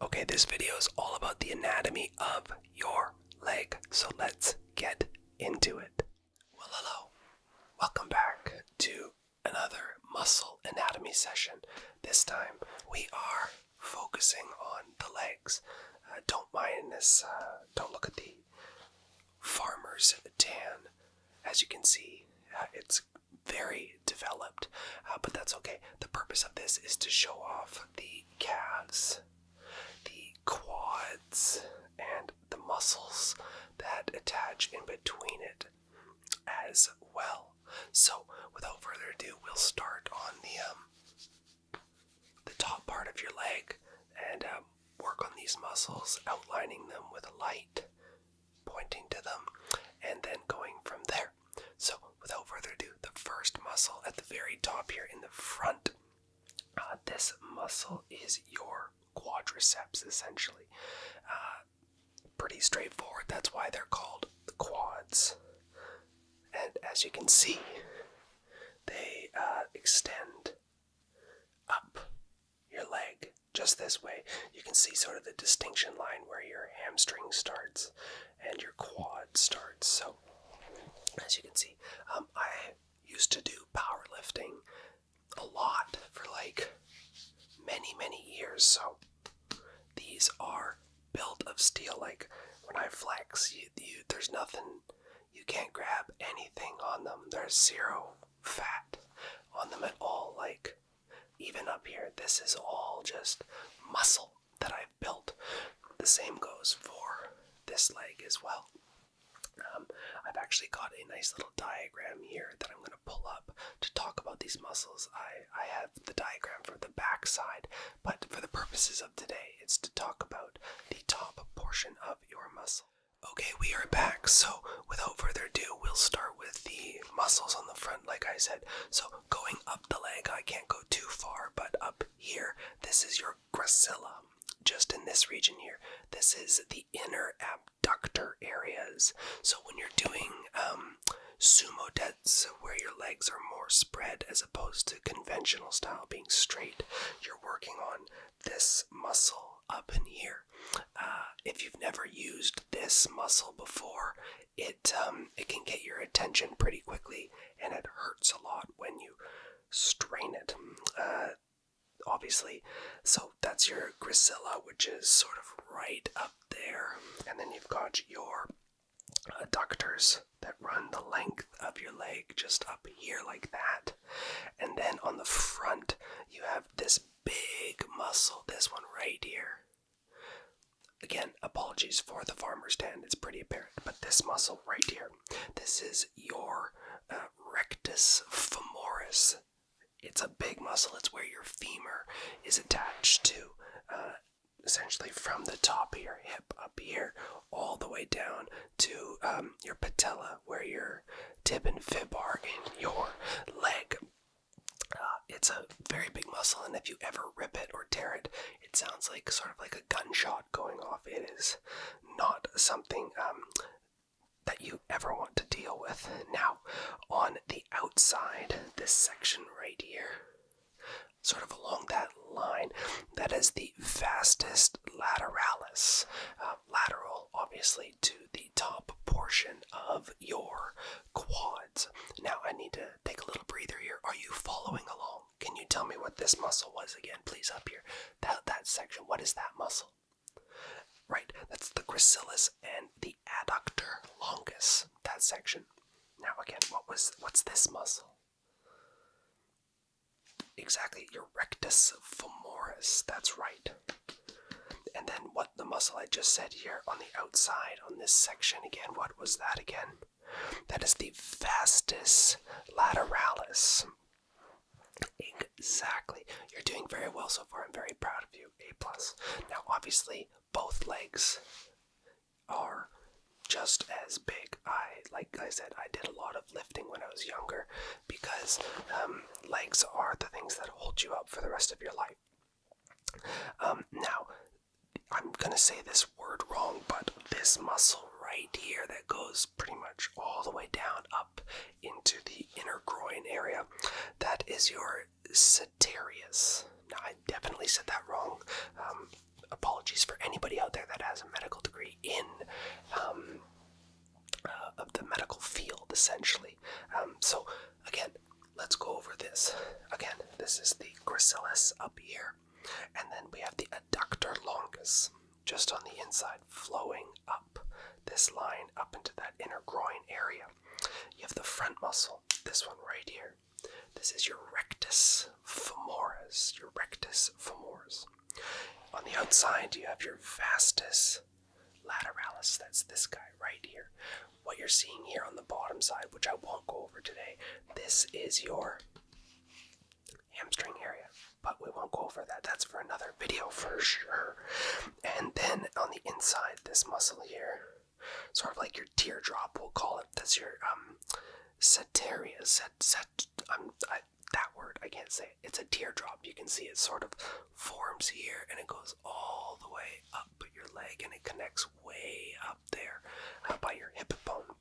Okay, this video is all about the anatomy of your leg, so let's get into it. Well, hello. Welcome back to another muscle anatomy session. This time we are focusing on the legs. Uh, don't mind this, uh, don't look at the farmer's tan. As you can see, uh, it's very developed, uh, but that's okay. The purpose of this is to show off the calves, the quads, and the muscles that attach in between it as well. So, without further ado, we'll start on the um, the top part of your leg and um, work on these muscles, outlining them with a light, pointing to them, and then going from there. So, without further ado, the first muscle at the very top here in the front, uh, this muscle is your quadriceps essentially. Uh, pretty straightforward, that's why they're called the quads. And as you can see, they uh, extend up your leg just this way. You can see sort of the distinction line where your hamstring starts and your quad starts. So, as you can see, um, I used to do powerlifting a lot for like many, many years. So, these are built of steel. Like when I flex, you, there's nothing, you can't grab anything on them. There's zero fat on them at all. Like even up here, this is all just muscle that I've built. The same goes for this leg as well. Um, I've actually got a nice little diagram here that I'm going to pull up to talk about these muscles. I, I have the diagram for the back side, but for the purposes of today, it's to talk about the top portion of your muscle. Okay, we are back. So, without further ado, we'll start with the muscles on the front, like I said. So, going up the leg, I can't go too far, but up here, this is your gracilla. Just in this region here, this is the inner abductor areas. So when you're doing um, sumo deads, where your legs are more spread as opposed to conventional style being straight, you're working on this muscle up in here. Uh, if you've never used this muscle before, it um, it can get your attention pretty quickly, and it hurts a lot when you strain it. Uh, obviously, so that's your grisilla, which is sort of right up there, and then you've got your adductors uh, that run the length of your leg just up here like that, and then on the front you have this big muscle, this one right here. Again, apologies for the farmer's tan, it's pretty apparent, but this muscle right here, this is your uh, rectus femoris. It's a big muscle, it's where your femur is attached to, uh, essentially from the top of your hip up here, all the way down to um, your patella, where your tib and fib are in your leg. Uh, it's a very big muscle, and if you ever rip it or tear it, it sounds like sort of like a gunshot going off. It is not something um, that you ever want to deal with. Now, on the outside, this section right here, sort of along that line, that is the fastest lateralis, uh, lateral obviously to the top portion of your quads. Now I need to take a little breather here. Are you following along? Can you tell me what this muscle was again, please? Up here, that that section. What is that muscle? Right, that's the gracilis and the adductor longus. That section. Now again, what was what's this muscle? Exactly, your rectus femoris. That's right. And then what? the muscle I just said here on the outside on this section again. What was that again? That is the vastus lateralis. Exactly. You're doing very well so far. I'm very proud of you. A plus. Now, obviously, both legs are just as big. I, like I said, I did a lot of lifting when I was younger because um, legs are the things that hold you up for the rest of your life. Um, now, I'm gonna say this word wrong, but this muscle right here that goes pretty much all the way down up into the inner groin area, that is your sartorius. Now, I definitely said that wrong. Um, apologies for anybody out there that has a medical degree in um, uh, of the medical field, essentially. so, again, let's go over this. Again, this is the gracilis up here. And then we have the adductor longus just on the inside, flowing up this line up into that inner groin area. You have the front muscle, this one right here. This is your rectus femoris, your rectus femoris. On the outside, you have your vastus lateralis, that's this guy right here, what you're seeing here on the bottom side, which I won't go over today, this is your hamstring area, but we won't go over that. That's for another video for sure. And then on the inside, this muscle here, sort of like your teardrop, we'll call it. That's your um, setaria. Set, set, um, that word, I can't say it. It's a teardrop. You can see it sort of forms here and it goes all the way up up your leg and it connects way up there uh, by your hip bone.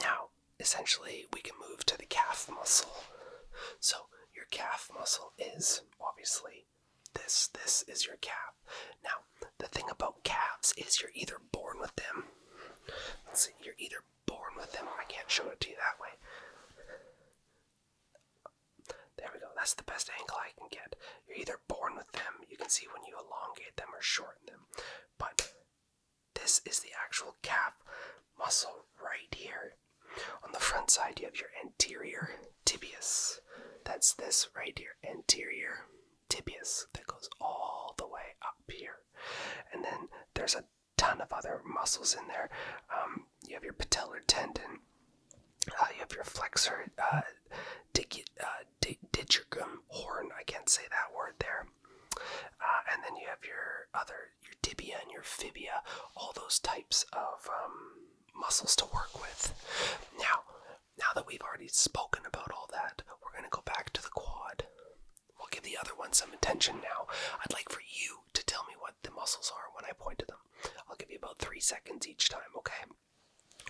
Now, essentially, we can move to the calf muscle. So, your calf muscle is obviously this. This is your calf. Now, the thing about calves is you're either born with them. you're either born with them. I can't show it to you that way. There we go. That's the best angle I can get. You're either born with them, you can see when you elongate them or shorten them. But this is the actual calf muscle right here. On the front side, you have your anterior tibius. That's this right here, anterior tibius, that goes all the way up here. And then there's a ton of other muscles in there. Um, you have your patellar tendon, uh, you have your flexor uh, dig, uh, horn. I can't say that word there. Uh, and then you have your other, your tibia and your fibia, all those types of um, muscles to work with. Now, now that we've already spoken about all that, we're going to go back to the quad. We'll give the other one some attention now. I'd like for you to tell me what the muscles are when I point to them. I'll give you about three seconds each time, okay?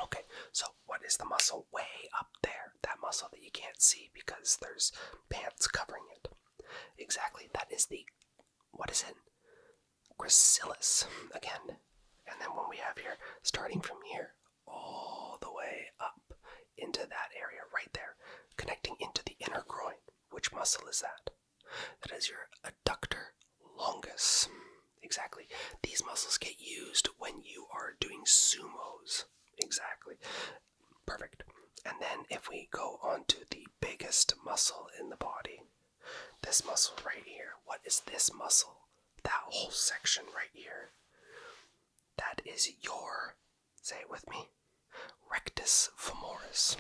Okay, so what is the muscle way up there? That muscle that you can't see because there's pants covering it. Exactly, that is the, what is it? Gracilis, again. And then what we have here, starting from here, all the way up into that area right there, connecting into the inner groin. Which muscle is that? That is your adductor longus. Exactly. These muscles get used when you are doing sumos. Exactly. Perfect. And then if we go on to the biggest muscle in the body, this muscle right here, what is this muscle? That whole section right here. That is your, say it with me, rectus femoris.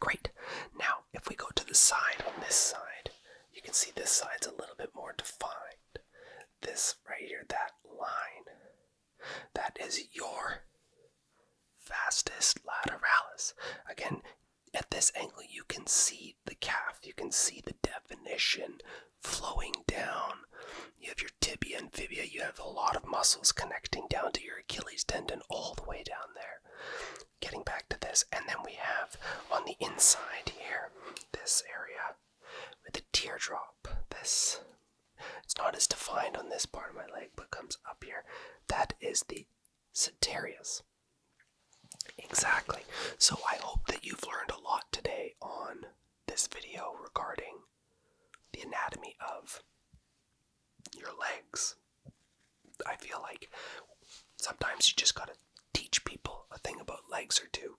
Great. Now, if we go to the side on this side, you can see this side's a little bit more defined. This right here, that line, that is your vastus lateralis. Again, at this angle, you can see the calf, you can see the definition flowing down. You have your tibia and fibia, you have a lot of muscles connecting down to your Achilles tendon all the way down there getting back to this, and then we have on the inside here this area with the teardrop. This it's not as defined on this part of my leg, but comes up here. That is the Ceterius. Exactly. So I hope that you've learned a lot today on this video regarding the anatomy of your legs. I feel like sometimes you just gotta teach people a thing about legs or two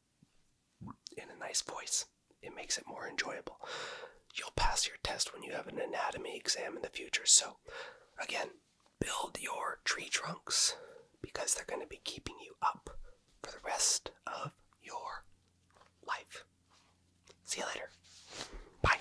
in a nice voice. It makes it more enjoyable. You'll pass your test when you have an anatomy exam in the future. So, again, build your tree trunks because they're going to be keeping you up for the rest of your life. See you later. Bye.